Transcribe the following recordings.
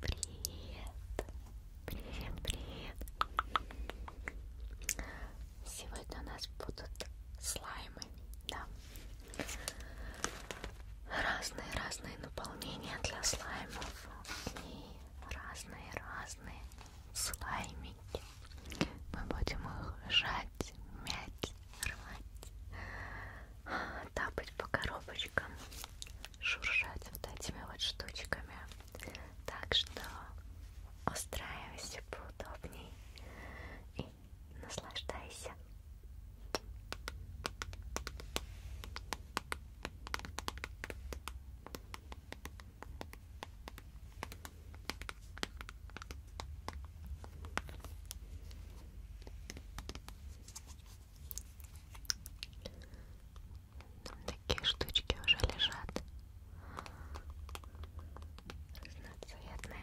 Привет! Привет, привет! Сегодня у нас будут слаймы, да. Разные-разные наполнения для слаймов и разные-разные слаймики. Мы будем их жать, мять, рвать тапать по коробочкам, шуршать вот этими вот штучками. Так что устраивайся поудобней и наслаждайся. Там такие штучки уже лежат. Разноцветные.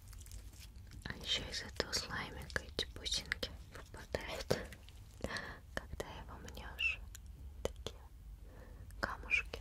А еще из этого слаймика эти бусинки выпадают, когда его мнешь. Такие камушки.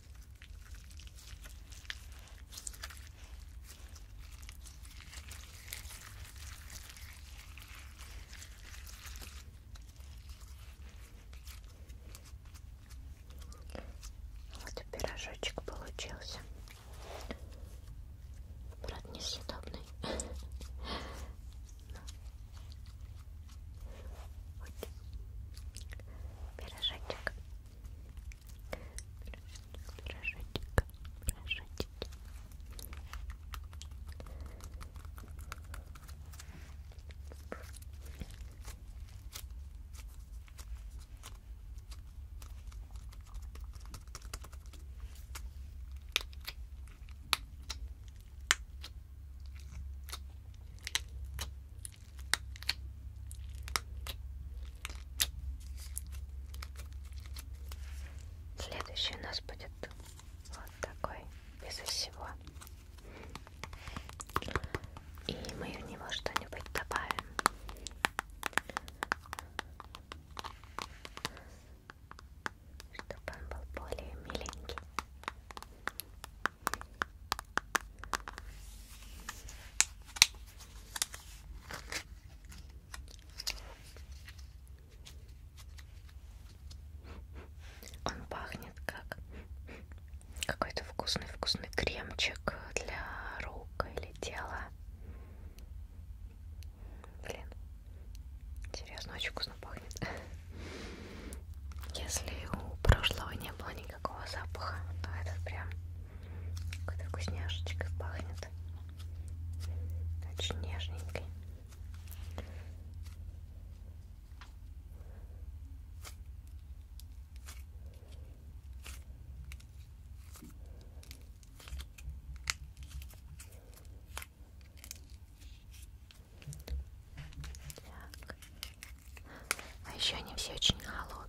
Вот и пирожочек получился. Брат несъедобный. Вот. Пирожочек. Пирожочек. Пирожочек. Следующий у нас будет вот такой, безо всего. И мы в него что-нибудь добавим. Чтобы он был более миленький. Он пахнет как какой-то вкусный-вкусный кремчик для рук или тела. Блин, серьезно, очень вкусно пахнет. Если у прошлого не было никаких никакого запаха, но ну, этот прям какой-то вкусняшечкой пахнет. Очень нежненький. Так. А еще они все очень холодные.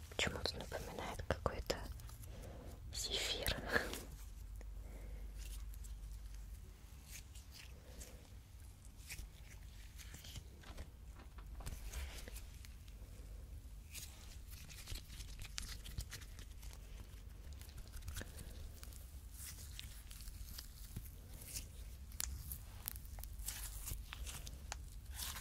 Почему-то напоминает какой-то зефир.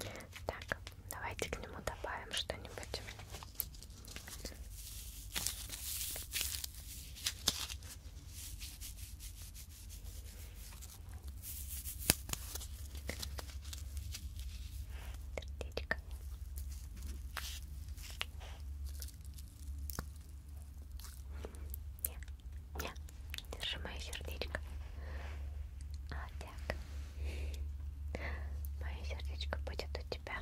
Так, давайте к нему добавим что-нибудь. Сердечко. Не, не, держи мое сердечко. А так. Мое сердечко будет у тебя.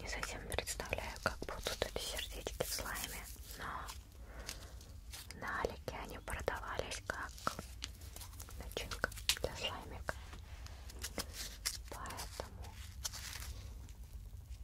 Не совсем представляю, как будут эти сердечки в слайме, но на Алике они продавались как начинка для слаймика. Поэтому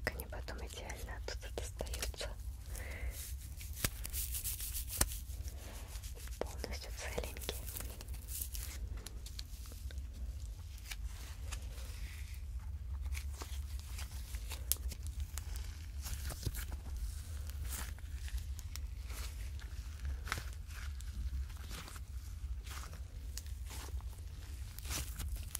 Как они потом идеально оттуда достают получится. Полностью целенький.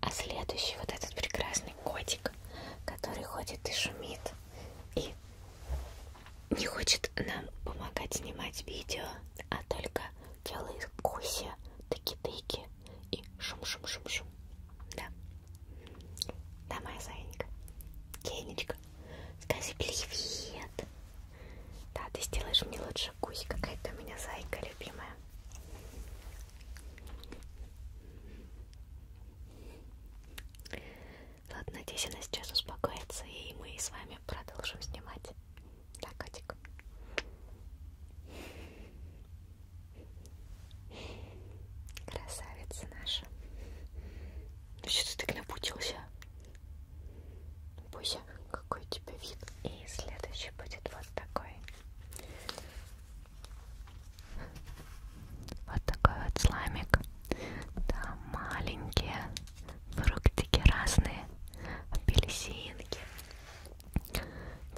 А следующий вот этот прекрасный котик, который ходит и шумит и не хочет нам помогать снимать видео, а только делает куси, тыки-тыки и шум-шум-шум-шум. Да. Да, моя Санечка. Кенечка, скажи привет. Да, ты сделаешь мне лучше кусь, какая-то у меня зайка любимая. Ладно, надеюсь, она сейчас успокоится, и мы с вами продолжим снимать. Да, котик? Красавица наша. Ну что ты так напутился? Буся, какой у тебя вид? И следующий будет вот такой. Вот такой вот сламик. Там маленькие фруктики разные. Апельсинки,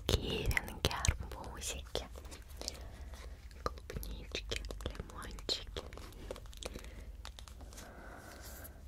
киринки, арбузики, клубнички, лимончики.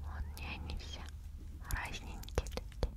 Вот не они все разненькие такие.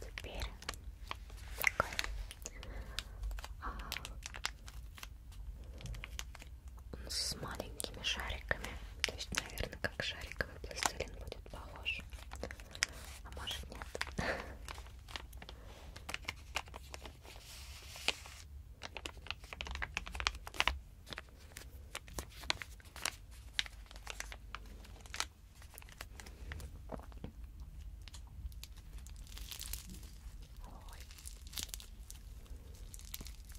Теперь такой а, с маленькими шариками, то есть, наверное, как шариковый пластилин будет похож. А может нет. Ой.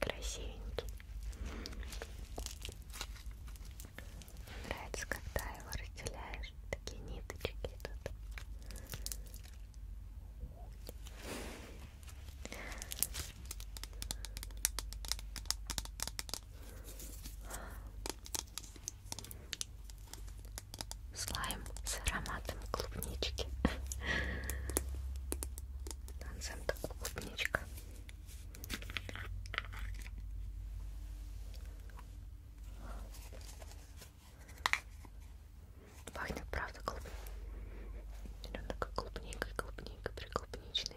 красивенький. Мне нравится, когда его разделяешь, такие ниточки идут. Слайм слайм с ароматом клубнички. Танцем как клубничка. Пахнет, правда, клуб. Он такой клубникой, клубника, приклубничный.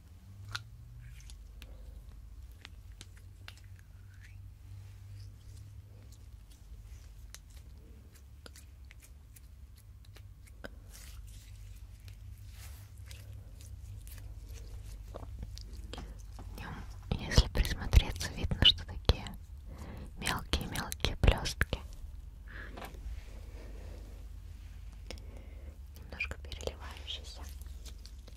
Если присмотреться, видно, что такие мелкие-мелкие блестки. Немножко переливающийся.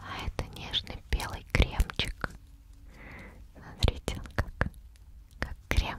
А это нежный белый кремчик. Смотрите, он как, как крем.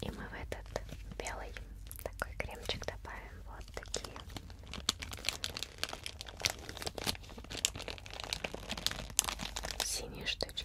И мы в этот белый такой кремчик добавим вот такие. Синие штучки.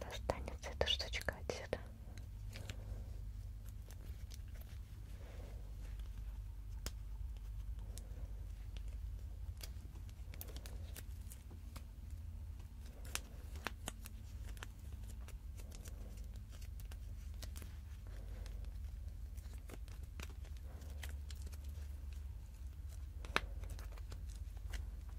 Достанется эта штучка отсюда.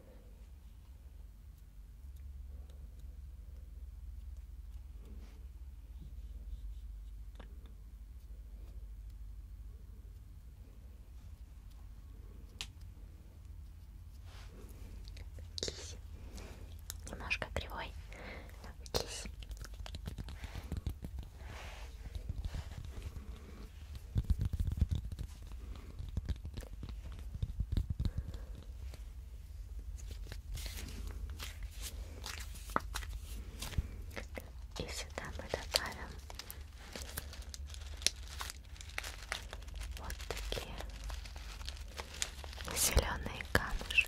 Киси. Немножко кривой. Киси. Киси. И сюда мы добавим вот такие зеленые камушки.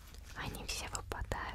Они все выпадают.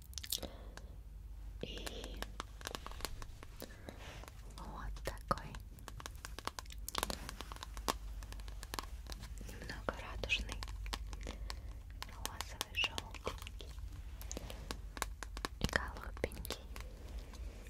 И вот такой немного радужный розовый желтенький и голубенький. Вот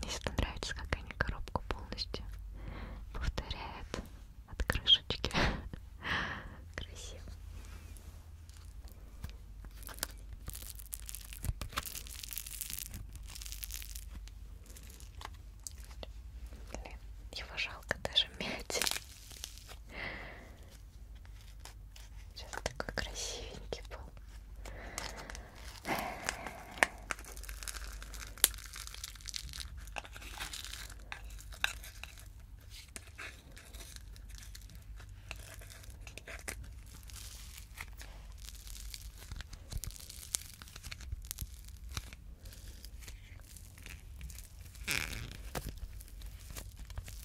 мне всегда нравится, как они коробку полностью повторяют от крышечки. Красиво. Блин, его жалко даже мять. Сейчас такой красивенький был.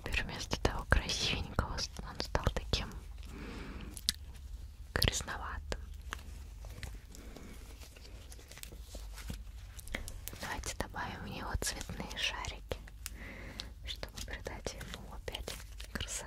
Теперь вместо того красивенького он стал таким красноватым. Давайте добавим в него цветные шарики чтобы придать ему опять красоту.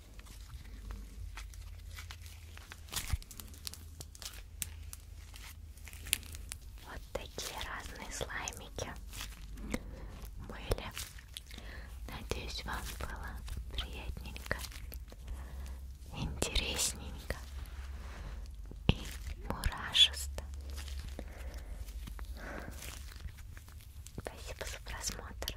Вот такие разные слаймики были. Надеюсь, вам было приятненько, интересненько и мурашисто. Спасибо за просмотр.